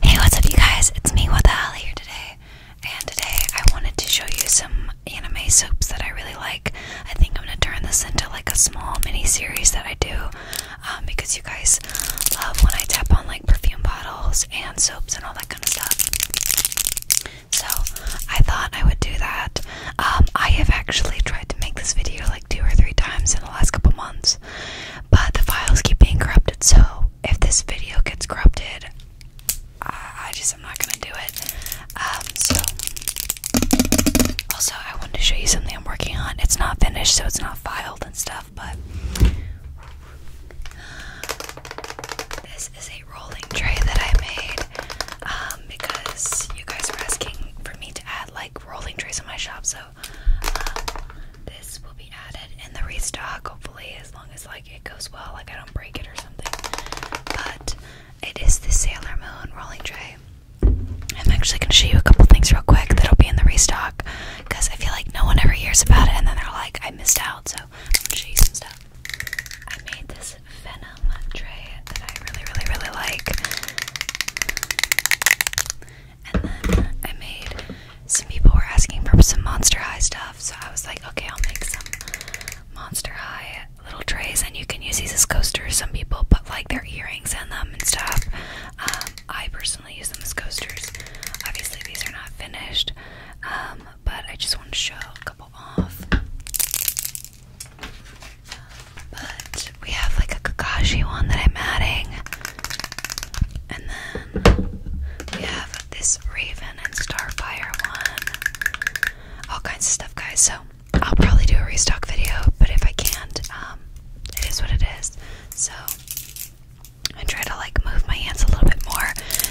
Hey, what's up, you guys? It's me, What the Hell, here today. And today I wanted to show you some anime soaps that I really like. I think I'm gonna turn this into like a small mini series that I do um, because you guys love when I tap on like perfume bottles and soaps and all that kind of stuff. So I thought I would do that. Um, I have actually tried to make this video like two or three times in the last couple months but the files keep being corrupted. So if this video gets corrupted, I, just am not gonna do it. Um, so also I wanted to show you something I'm working on. It's not finished, so it's not filed and stuff, but. This is a rolling tray that I made um, because you guys were asking for me to add like rolling trays in my shop, so um, this will be added in the restock, hopefully, as long as like it goes well, like I don't break it or something. But it is the Sailor Moon rolling tray. I'm actually gonna show you a couple things real quick that'll be in the restock because I feel like no one ever hears about it, and then they're like, I missed out. So I'm gonna show you some stuff. I made this Venom tray that I really, really, really like. And then I made some people were asking for some Monster High stuff, so I was like, okay, I'll make some Monster High little trays, and you can use these as coasters. Some people put like their earrings in them and stuff. Um, I personally use them as coasters. Obviously, these are not finished, um, but I just want to show a couple off. Um, but we have like a Kakashi one that I'm adding. And then we have this Raven and Starfire one. All kinds of stuff, guys. So I'll probably do a restock video, but if I can't, um, it is what it is. So I try to like move my hands a little bit more.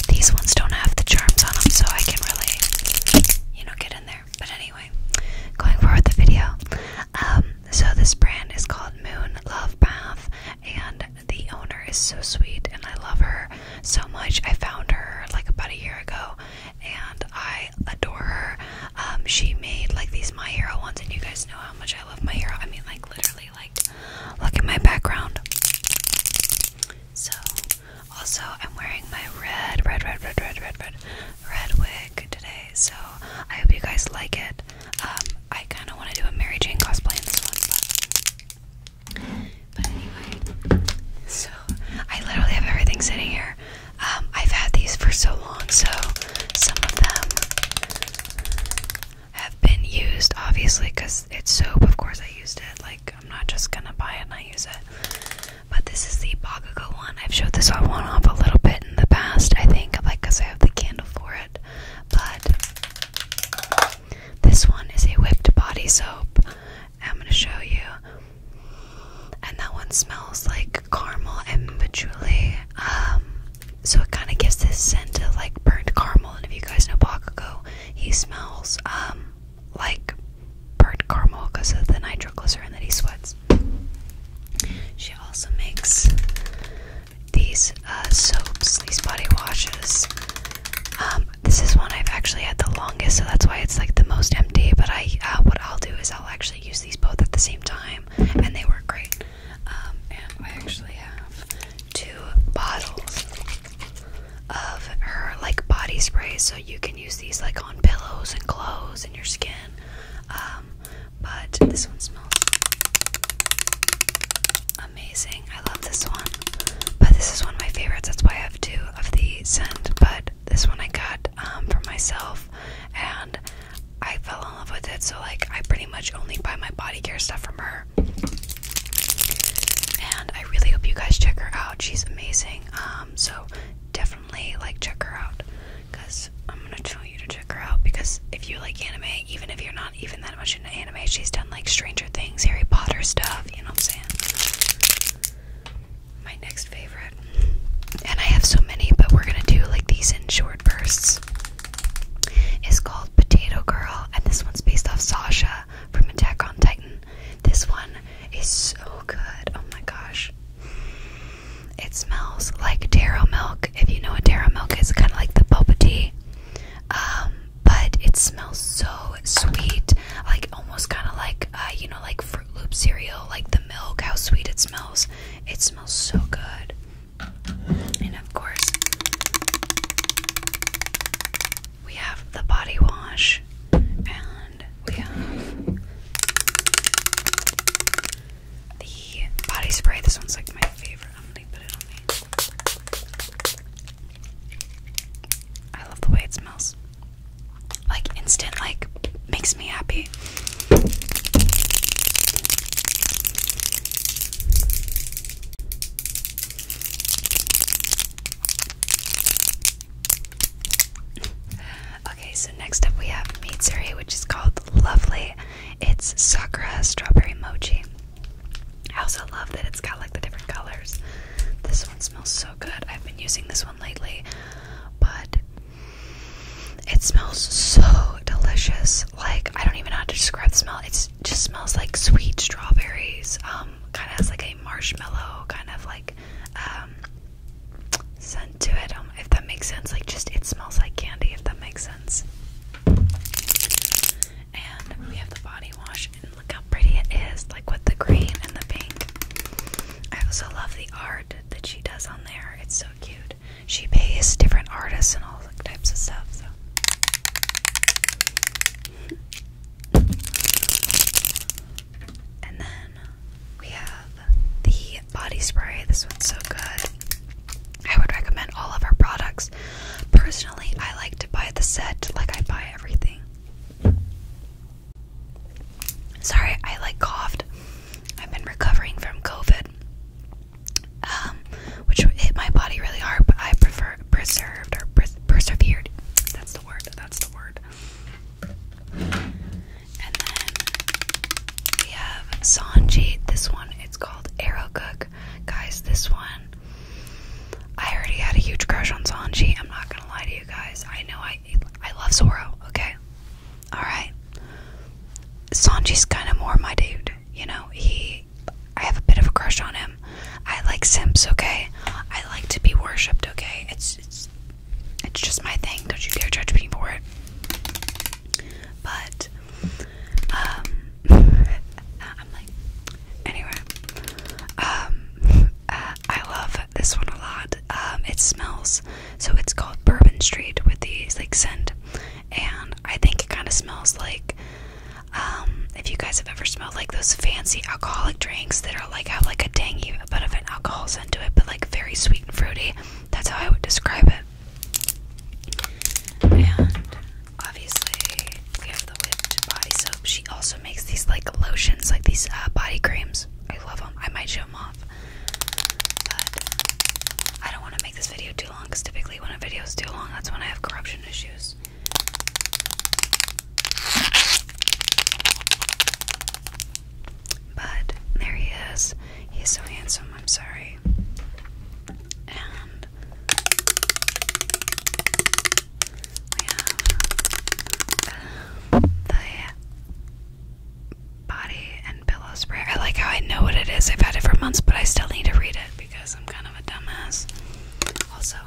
These ones don't have the charms on them, so I can really, you know, get in there. But anyway, going forward with the video, um, so this brand is called Moon Love Bath and the owner is so sweet and I love her so much. I found her like about a year ago and I adore her. Um she made like these My Hero ones and you guys know how much I love My Hero. I mean like literally like look at my background. So also I'm wearing my red red red red red red red red wig today, so I hope you guys like it. Um, I kind of want to do a Mary Jane cosplay in this one, but, anyway. So I literally have everything sitting here. Um, I've had these for so long, so some of them have been used, obviously, because it's soap. Of course, I used it. Like I'm not just gonna buy it and I use it. But this is the one. I've showed this one off a little bit in the past, I think, like because I have the candle for it. But this one is a whipped body soap. I'm gonna show you. And that one smells like caramel and patchouli. Um, so it kind of gives this scent of like burnt caramel. And if you guys know Bakugo, he smells um, like burnt caramel because of the nitroglycerin that he sweats. She also makes these uh, soaps, these body washes. Um, this is one I've actually had the longest, so that's why it's like the most empty. But I, uh, what I'll do is I'll actually use these both at the same time, and they work great. Um, and I actually have two bottles of her like body spray, so you can use these like on pillows and clothes and your skin. Um, but this one smells amazing. I love this one. But this is one of my favorites. That's why I have two of the scent. But this one I got um, for myself and I fell in love with it. So, like, I pretty much only buy my body care stuff from her. And I really hope you guys check her out. She's amazing. Um, so, definitely, like, check her out because I'm gonna tell you to check her out. Because if you like anime, even if you're not even that much into anime, she's done like Stranger Things, Harry Potter stuff. You know what I'm saying? My next favorite, and I have so many, but we're gonna do like these in short bursts. Is called Potato Girl, and this one's based off Sasha from Attack on Titan. This one is so good. Oh my gosh. It smells like taro milk. If you know what taro milk is, kind of like the boba tea. Um, but it smells so sweet, like almost kind of like uh, you know, like Fruit Loop cereal, like the milk. How sweet it smells! It smells so good, and of course, we have the body wash we have the body spray. This one's like my favorite. I'm gonna put it on me. I love the way it smells. Like instant, like makes me happy. Okay, so next up we have Mitsuri, which is called Lovely. It's Sakura Strawberry Mochi. I also love that it's got like the different colors. This one smells so good. I've been using this one lately, but it smells so delicious. Like, I don't even know how to describe the smell. It just smells like sweet strawberries. Um, kind of has like a marshmallow kind of like um, scent to it, um, if that makes sense. Like, just it smells like candy, if that makes sense. And we have the body wash, and look how pretty it is, like with the green and the pink. I also love the art that she does on there, it's so cute. She pays different artists and all types of stuff, so. And then we have the body spray. This one's so good. I would recommend all of our products. Personally, I like to buy the set like I buy everything. Sorry, I like coughed. I've been recovering from COVID, um, which hit my body really hard, but I prefer preserved or pres persevered. That's the word. That's the word. And then we have Sanji. This one, it's called Arrow Guys, this one, I already had a huge crush on Sanji. I'm not gonna lie to you guys. I know I, I love Zoro. Okay, all right. Sanji's kind of more my dude. You know, he. I have a bit of a crush on him. I like simps. Okay, I like to be worshipped. Okay, it's it's just my thing. Don't you dare judge me for it. But um, I'm like anyway. Um, I love this one a lot. Um, it smells so it's called Bourbon Street with the like scent, and I think it kind of smells like um if you guys have ever smelled like those fancy alcoholic drinks that are like have like a tangy bit of an alcohol scent to it, but like very sweet and fruity, that's how I would describe it. And obviously, we have the whipped body soap. She also makes these like lotions, like these uh, body creams. I love them. I might show them off, but I don't want to make this video too long because typically when a video is too long, that's when I have corruption issues. But there he is. He's so handsome, I'm sorry. And we have um, the body and pillow spray. I like how I know what it is. I've had it for months, but I still need to read it because I'm kind of a dumbass. Also,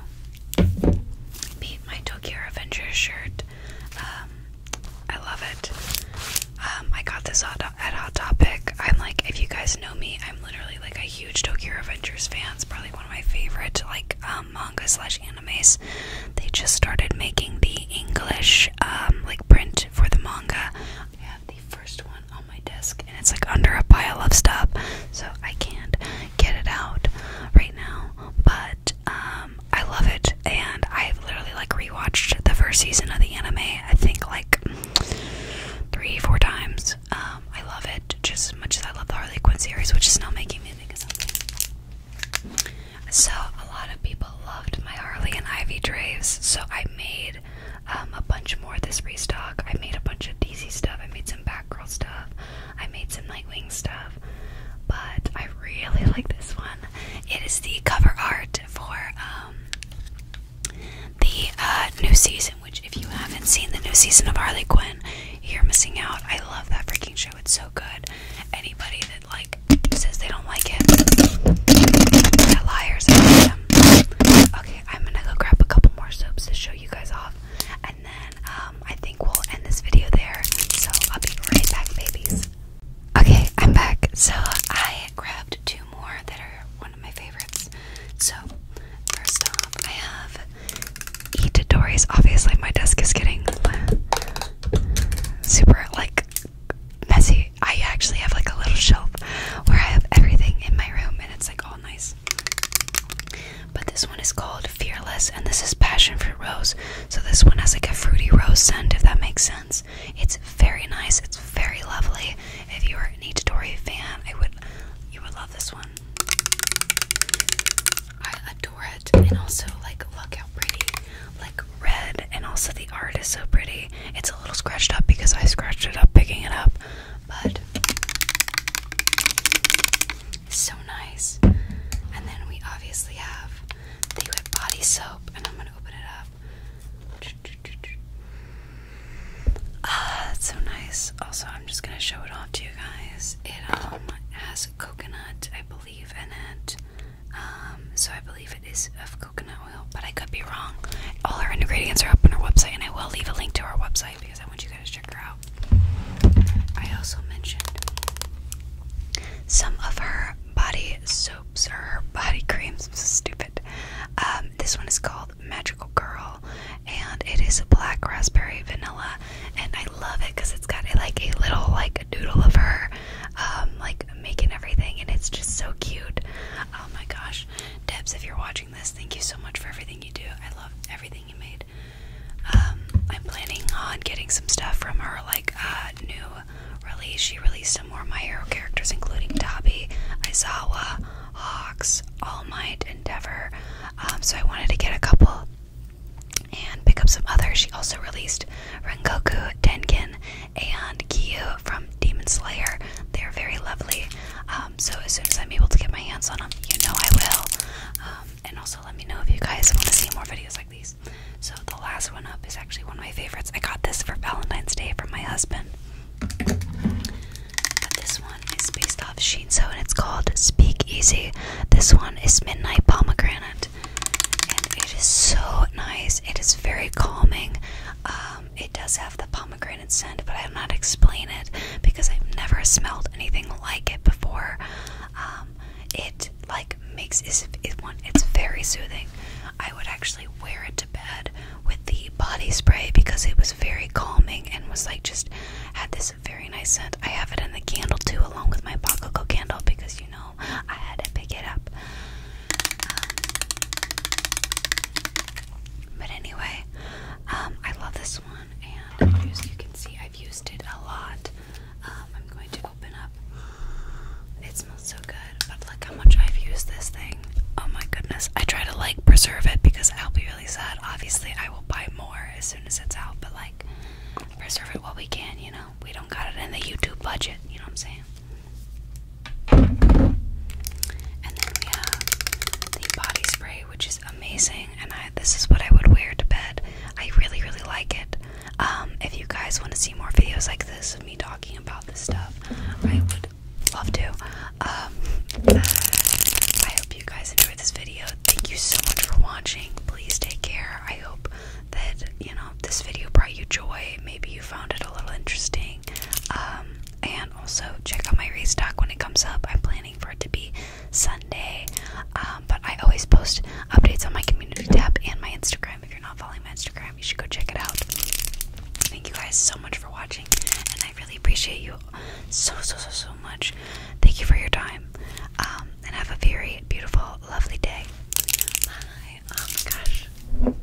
me my Tokyo Avengers shirt. Um, I love it. Um, I got this at Hot Topic. I'm like, if you guys know me, I'm literally like a huge Tokyo Avengers fans. probably one of my favorite like um, manga slash animes. They just started making the English like print for the manga. I have the first one on my desk, and it's like under a pile of stuff, so I can't get it out right now, but um, I love it, and I've literally like rewatched the first season of the anime. I think like three, four times. Um, I love it just as much as I love the Harley Quinn series, which is now making me think of something. So a lot of people loved my Harley and Ivy Draves, so I made um, a bunch more of this restock. I made a bunch of DC stuff. I made some Batgirl stuff. I made some Nightwing stuff, but I really like this one. It is the cover art for um, the uh, new season, which, if you haven't seen the new season of Harley Quinn, you're missing out. I love that freaking show, it's so good. Anybody that like says they don't like it, they're liars. Okay, I'm gonna go grab a couple more soaps to show you guys off, and then um, I think we'll end this video there. So I'll be right back, babies. Okay, I'm back. So I grabbed two more that are one of my favorites. So first off, I have Itadori's. Obviously, my desk is getting uh, super like messy. I actually have like a little shelf where I have everything in my room, and it's like all nice. But this one is called Fearless, and this is Passion for Rose. So this one has like a fruity rose scent, if that makes sense. It's very nice. It's very lovely. If you are an Itadori fan, I would you would love this one. I adore it, and also like look how pretty, like red, and also the art is so pretty. It's a little scratched up because I scratched it up picking it up, but so nice. And then we obviously have the wet body soap, and I'm gonna open it up. Ah, that's so nice. Also, I'm just gonna show it off to you guys. It um has coconut, I believe, in it. Um, so I believe it is of coconut oil, but I could be wrong. All our ingredients are up on our website, and I will leave a link to our website because I want you guys to check her out. I also mentioned some of her body soaps or her body creams. stupid. Um, this one is called Magical Girl, and it is a black raspberry vanilla, and I love it because it's got a, like a little like a doodle of her, um, like making everything, and it's just so cute. Oh my gosh, Debbs, if you're watching. Thank you so much for everything you do. I love everything you made. Um, I'm planning on getting some stuff from her, like uh, new release. She released some more of my hero characters, including Dobby, Izawa, Hawks, All Might, Endeavor. Um, so I wanted to get a couple and pick up some others. She also released Rengoku, Tenken, and Kyu from Demon Slayer. They're very lovely. Um, um, so as soon as I'm able to get my hands on them, you know I will. Um, and also let me know if you guys want to see more videos like these. So the last one up is actually one of my favorites. I got this for Valentine's Day from my husband. this one is based off Shinso and it's called Speak Easy. This one is Midnight Pomegranate. And it is so nice. It is very calming. Um, it does have the pomegranate pomegranate scent, but i have not explained it because I've never smelled anything like it before. Um, it like makes it, It's very soothing. I would actually wear it to bed with the body spray because it was very calming and was like just had this very nice scent. I have it in the candle too, along with my Bakoko candle because you know I had to pick it up. Um, but anyway, um, I love this one, and as you can see, I've used it a lot. Um, I'm going to open up. It smells so good, but look how much I've used this thing. Oh my goodness. I try to like preserve it because I'll be really sad. Obviously, I will buy more as soon as it's out, but like preserve it while we can, you know? We don't got it in the YouTube budget, you know what I'm saying? And then we have the body spray, which is amazing, and this is what I would wear to bed. I really, really like it. Um, if you guys want to see more videos like this of me talking about this stuff, I would love to. Um, I hope you guys enjoyed this video. Thank you so much for watching. Please take care. I hope that you know this video brought you joy. Maybe you found it a little interesting. Um, and also check out my restock when it comes up. I'm planning for it to be Sunday, um, but I always post updates on my community tab and my Instagram. If you're not following my Instagram, you should go check it out. Thank you guys so much for watching, and I really appreciate you so so so so much. Thank you for your time, um, and have a very beautiful, lovely day. Bye. Oh my gosh,